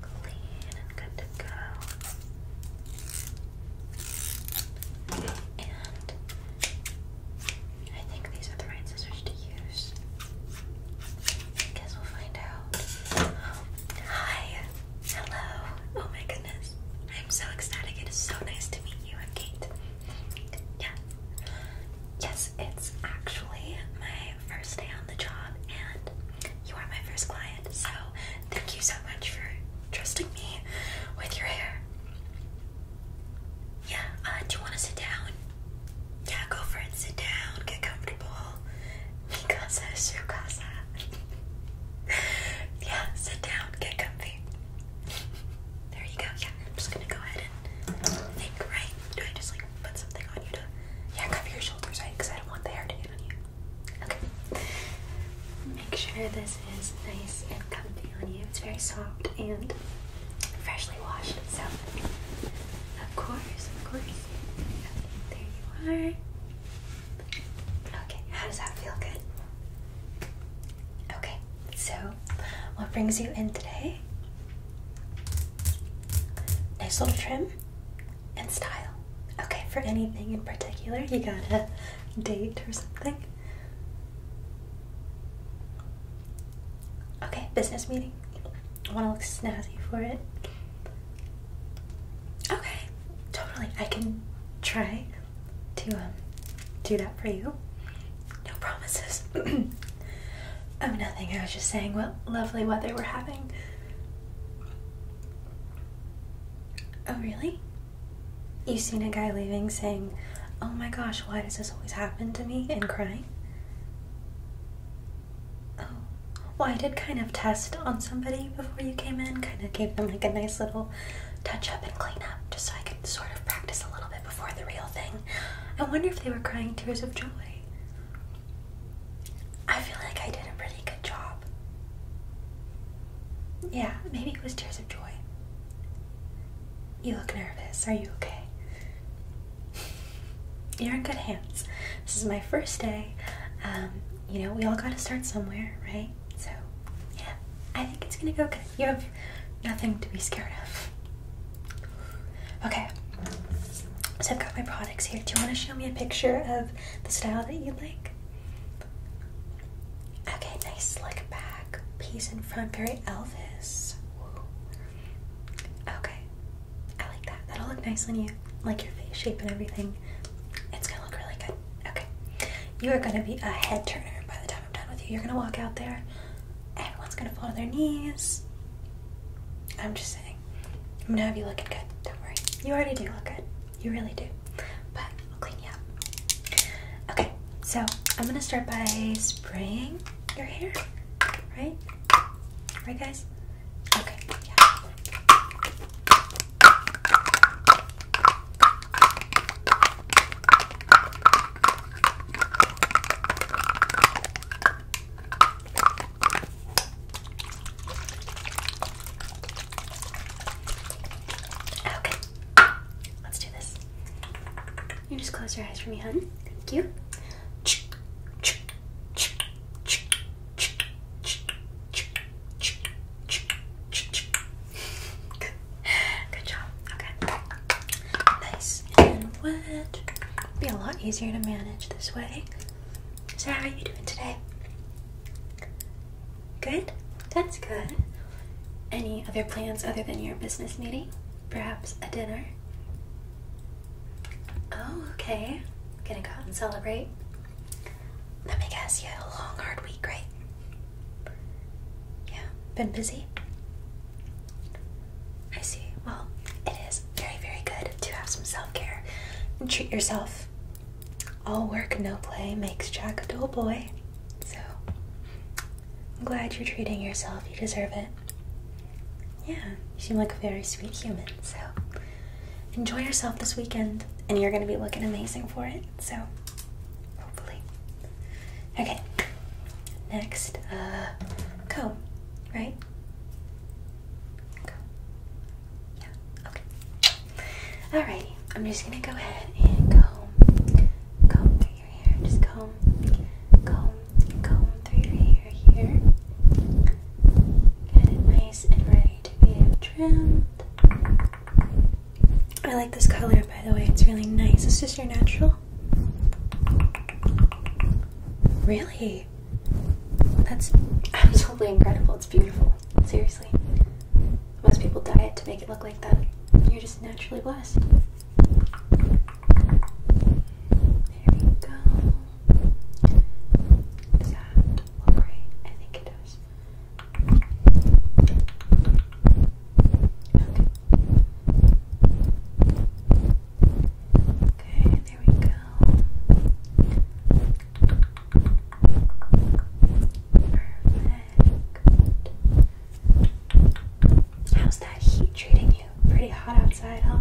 clean and good to go. And I think these are the right scissors to use. I guess we'll find out. Hi! Hello! Oh my goodness. I'm so ecstatic. It is so nice to meet you. I'm Kate. Yeah. Yes, it's actually my first day on the job, and you are my first client, so thank you so much for trusting me with your hair. Yeah, uh, do you want to sit down? Yeah, go for it. Sit down, get comfortable. Mikasa, Shukasa. yeah, sit down, get comfy. There you go. Yeah, I'm just gonna go ahead and think right do I just like put something on you to yeah cover your shoulders right because I don't want the hair to get on you okay make sure this is nice and comfy on you it's very soft and freshly washed so of course of course there you are okay how does that feel good okay so what brings you in today Nice little trim and style. Okay, for anything in particular, you got a date or something? Okay, business meeting. I want to look snazzy for it. Okay, totally. I can try to um, do that for you. No promises. Oh, nothing. I was just saying what lovely weather we're having. Oh, really? You've seen a guy leaving saying, Oh my gosh, why does this always happen to me? and crying? Oh, well, I did kind of test on somebody before you came in, kind of gave them like a nice little touch up and clean up just so I could sort of practice a little bit before the real thing. I wonder if they were crying tears of joy. I feel like I did a pretty good job. Yeah, maybe it was tears of joy. You look nervous. Are you okay? You're in good hands. This is my first day. Um, you know, we all got to start somewhere, right? So, yeah, I think it's gonna go good. You have nothing to be scared of. Okay, so I've got my products here. Do you want to show me a picture of the style that you would like? Okay, nice slick back, piece in front, very Elvis. Okay, I like that. That'll look nice on you, like your face shape and everything. It's gonna look really good. Okay, you are gonna be a head turner by the time I'm done with you. You're gonna walk out there, everyone's gonna fall to their knees. I'm just saying. I'm gonna have you looking good. Don't worry. You already do look good. You really do. But I'll clean you up. Okay, so I'm gonna start by spraying your hair. Right? Right, guys? Okay, yeah. Okay, let's do this. You just close your eyes for me, hun. Thank you. Good job. Okay. Nice and wet. would be a lot easier to manage this way. So how are you doing today? Good? That's good. Any other plans other than your business meeting? Perhaps a dinner? Oh, okay. Gonna go out and celebrate. Let me guess, you had a long, hard week, right? Yeah, been busy? I see. Well, it is very, very good to have some self care and treat yourself. All work, no play makes Jack a dull boy. So, I'm glad you're treating yourself. You deserve it. Yeah, you seem like a very sweet human. So, enjoy yourself this weekend, and you're going to be looking amazing for it. So, hopefully. Okay, next, uh, Co, right? Yeah, okay. Alrighty, I'm just gonna go ahead and comb, comb through your hair. Just comb, comb, comb through your hair here. Get it nice and ready to be trimmed. I like this color, by the way. It's really nice. It's just your natural Really? That's absolutely incredible. It's beautiful. Seriously. Most people diet to make it look like that. You're just naturally blessed. Okay, there we go. Perfect. How's that heat treating you? Pretty hot outside, huh?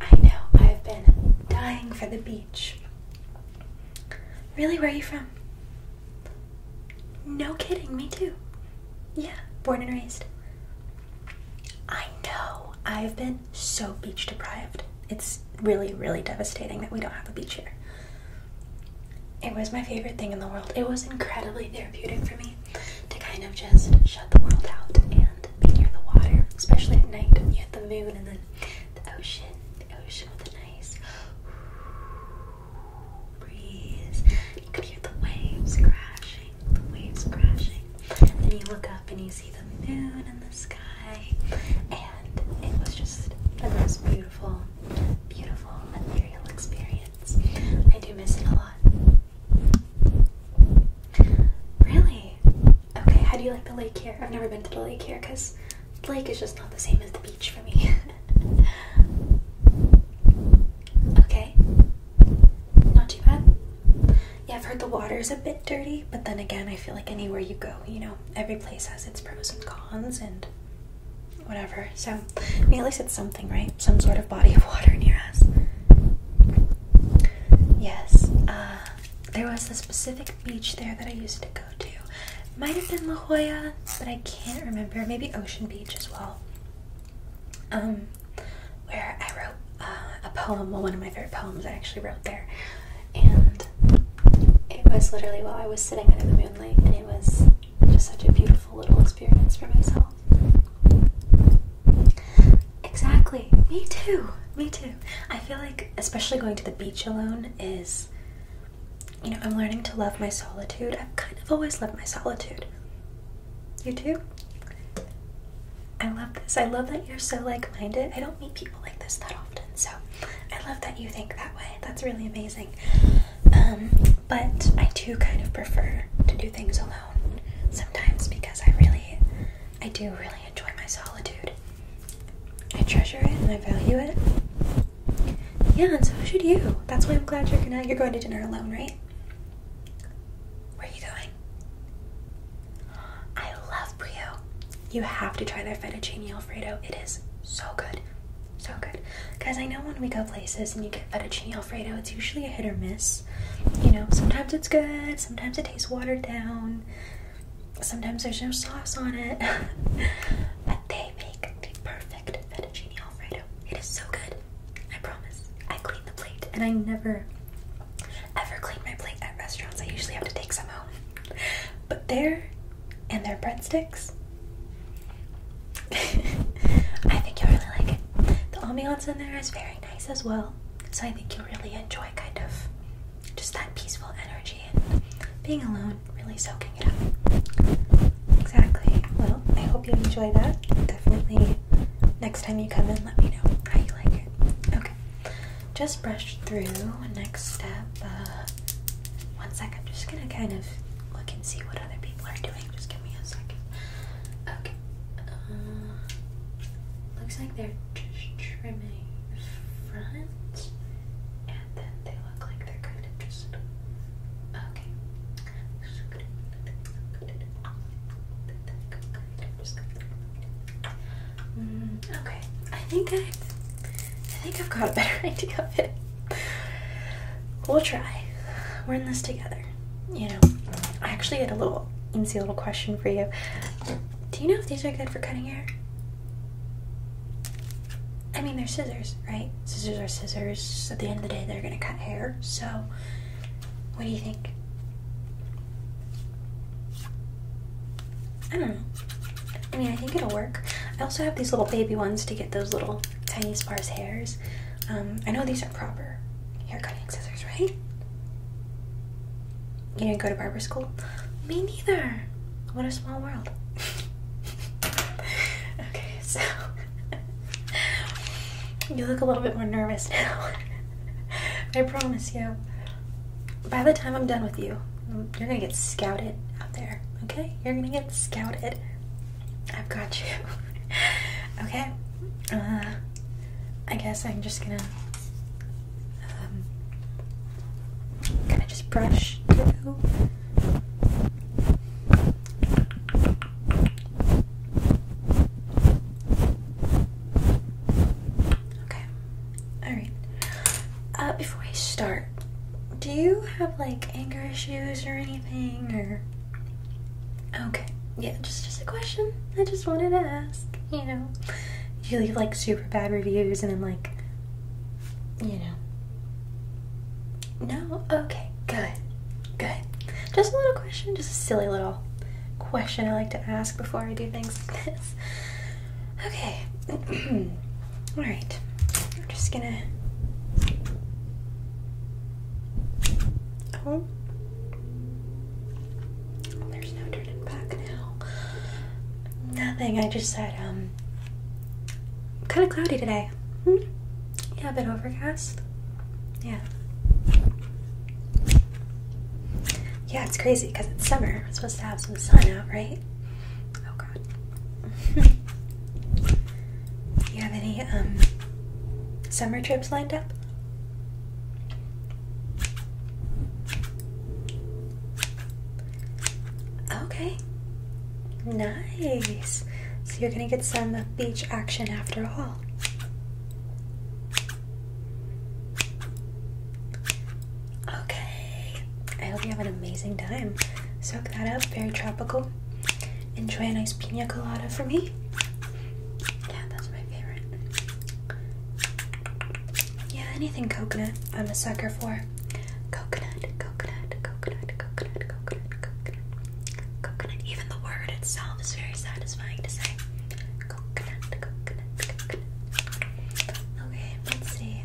I know, I've been dying for the beach. Really, where are you from? No kidding, me too. Yeah, born and raised. I know. I've been so beach deprived. It's really, really devastating that we don't have a beach here. It was my favorite thing in the world. It was incredibly therapeutic for me to kind of just shut the world out and be near the water, especially at night. You have the moon and then the ocean, the ocean with the nice breeze. You could hear the waves crashing, the waves crashing. Then you look up and you see the moon in the sky, and it was just the most beautiful, beautiful ethereal experience. I do miss it a lot. Really? Okay, how do you like the lake here? I've never been to the lake here because the lake is just not the same as the beach for me. okay, not too bad. Yeah, I've heard the water is a bit dirty, but then again, I feel like anywhere you go, you know, every place has its pros and cons and whatever. So, I mean, at least it's something, right? Some sort of body of water near us. Yes, uh, there was a specific beach there that I used to go to. Might have been La Jolla, but I can't remember. Maybe Ocean Beach as well um, where I wrote uh, a poem. Well, one of my favorite poems I actually wrote there, and it was literally while I was sitting under the moonlight, and it was just such a beautiful little experience for myself. Exactly. Me too. Me too. I feel like, especially going to the beach alone, is you know, I'm learning to love my solitude. I've kind of always loved my solitude. You too? I love this. I love that you're so like minded. I don't meet people like this that often, so I love that you think that way. That's really amazing. Um, but I do kind of prefer to do things alone sometimes because I really, I do really enjoy my solitude. I treasure it and I value it. Yeah, and so should you. That's why I'm glad you're going to dinner alone, right? going? Where are you going? I love Brio. You have to try their fettuccine alfredo. It is so good. So good. Guys, I know when we go places and you get fettuccine alfredo, it's usually a hit or miss. You know, sometimes it's good, sometimes it tastes watered down, sometimes there's no sauce on it. but they make the perfect perfect fettuccine alfredo. It is so good. I promise. I clean the plate, and I never, ever clean my plate at restaurants. I usually have to take some home. But there, and their breadsticks, I think you'll really like it. The ambiance in there is very nice as well, so I think you'll really enjoy kind of just that peaceful energy and being alone, really. So good talking Exactly. Well, I hope you enjoy that. Definitely next time you come in, let me know how you like it. Okay. Just brush through. Next step. Uh, one sec. I'm just gonna kind of look and see what other people are doing. Just give me a second. Okay. Uh, looks like they're just trimming the front, and then they look like they're kind of just okay okay, I think i I think I've got a better idea of it. We'll try. We're in this together. You know, I actually had a little easy little question for you. Do you know if these are good for cutting hair? I mean, they're scissors right? Scissors are scissors. At the end of the day, they're gonna cut hair. So, what do you think? I don't know. I mean, I think it'll work. I also have these little baby ones to get those little tiny sparse hairs. Um, I know these are proper hair cutting scissors, right? You didn't go to barber school? Me neither. What a small world. okay so you look a little bit more nervous now. I promise you. By the time I'm done with you, um, you're gonna get scouted out there, okay? You're gonna get scouted. I've got you. okay? Uh, I guess I'm just gonna kind um, of just brush Okay. Alright. Uh, before we start, do you have like anger issues or anything or Okay. Yeah, just just a question. I just wanted to ask, you know. Do you leave like super bad reviews and then like you know no? Okay, good. Good. Just a little question, just a silly little question I like to ask before I do things like this. Okay. Alright. I'm just gonna. Oh. There's no turning back now. Nothing. I just said, um, kind of cloudy today. Hmm? Yeah, a bit overcast. Yeah. Yeah, it's crazy because it's summer. We're supposed to have some sun out, right? Oh god. Do you have any um, summer trips lined up? Okay. Nice. So you're going to get some beach action after all. Okay. I hope you have an amazing time. Soak that up. Very tropical. Enjoy a nice pina colada for me. Yeah, that's my favorite. Yeah, anything coconut, I'm a sucker for. Coconut, coconut, coconut, coconut, coconut, coconut, coconut. Even the word itself is very satisfying to say. Coconut, coconut, coconut. Okay, let's see.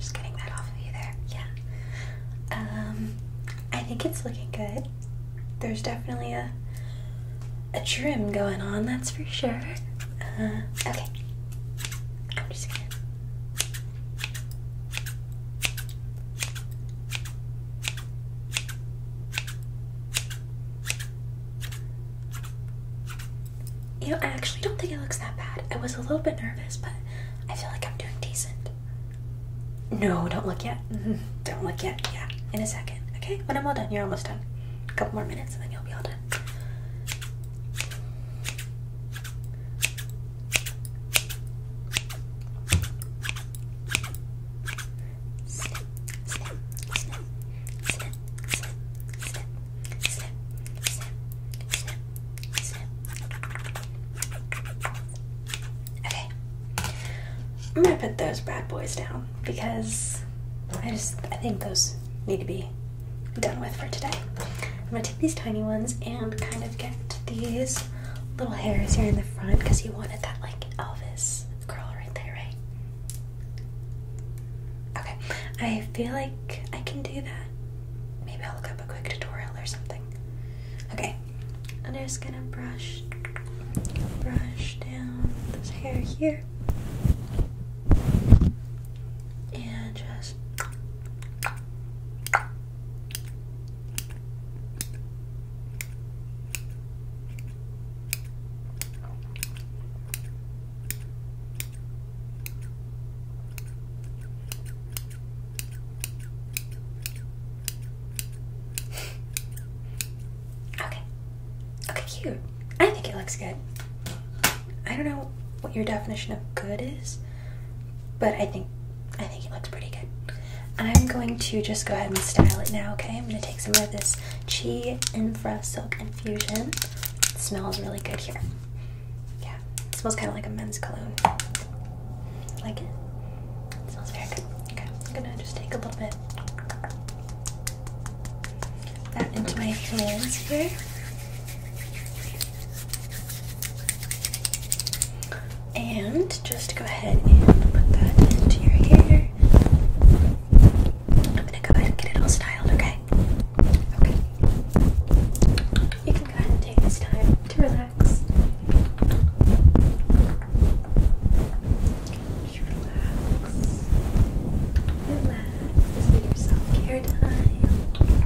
Just getting that off of you there. Yeah. Um I think it's looking good. There's definitely a a trim going on, that's for sure. Uh, okay, I'm just going You know, I actually don't think it looks that bad. I was a little bit nervous, but I feel like I'm doing decent. No, don't look yet. Don't look yet. Yeah, in a second. Okay, when I'm all done, you're almost done. A couple more minutes and then you'll be all done. Okay. I'm gonna put those bad boys down because I just I think those need to be done with for today. I'm gonna take these tiny ones and kind of get these little hairs here in the front because you wanted that like Elvis curl right there, right? Okay, I feel like I can do that. Maybe I'll look up a quick tutorial or something. Okay, Okay, I'm just gonna brush, brush down this hair here, and just okay. Okay, cute. I think it looks good. I don't know what your definition of good is, but I think I think it looks pretty good. I'm going to just go ahead and style it now, okay? I'm gonna take some of this Chi Infra Silk Infusion. smells really good here. Yeah, smells kind of like a men's cologne. Like it? It smells very good. Okay, I'm gonna just take a little bit that into my hands here. And just go ahead and put that into your hair. I'm gonna go ahead and get it all styled, okay? Okay. You can go ahead and take this time to relax relax. relax. Relax. your self-care time. Okay,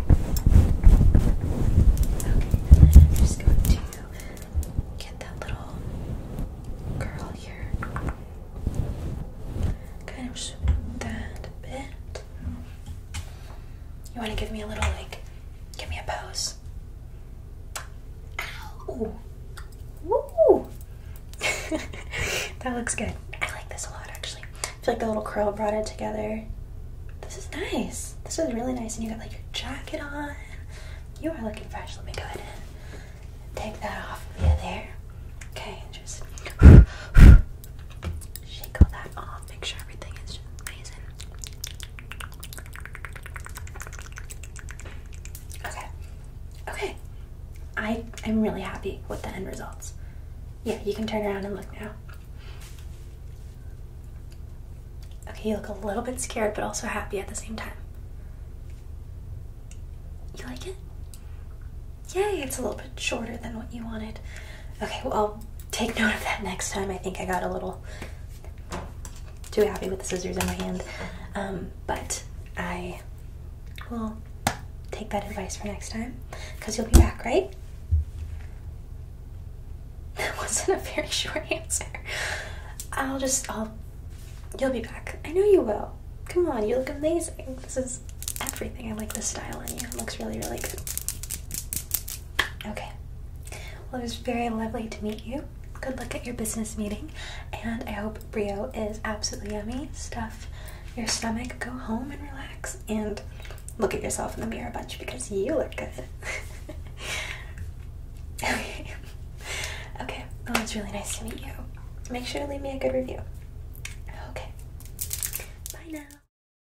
then I'm just going to get that little curl here. Kind of shape that bit. You want to give me a little like Give me a pose. Ow! Woo! that looks good. I like this a lot actually. I feel like the little curl brought it together. This is nice. This is really nice. And you got like your jacket on. You are looking fresh. Let me go ahead and take that off of you there. Okay, just Shake all that off, make sure everything is amazing. Okay. Okay. I am really happy with the end results. Yeah, you can turn around and look now. Okay, you look a little bit scared but also happy at the same time. You like it? Yay, it's a little bit shorter than what you wanted. Okay, well, take note of that next time. I think I got a little too happy with the scissors in my hand. Um, but I will take that advice for next time because you'll be back, right? That wasn't a very short answer. I'll just, I'll, you'll be back. I know you will. Come on, you look amazing. This is everything. I like the style on you. It looks really, really good. Okay. Well, it was very lovely to meet you. Good luck at your business meeting, and I hope Brio is absolutely yummy. Stuff your stomach, go home and relax, and look at yourself in the mirror a bunch because you look good. okay. Okay. Well, it's really nice to meet you. Make sure to leave me a good review. Okay. Bye now.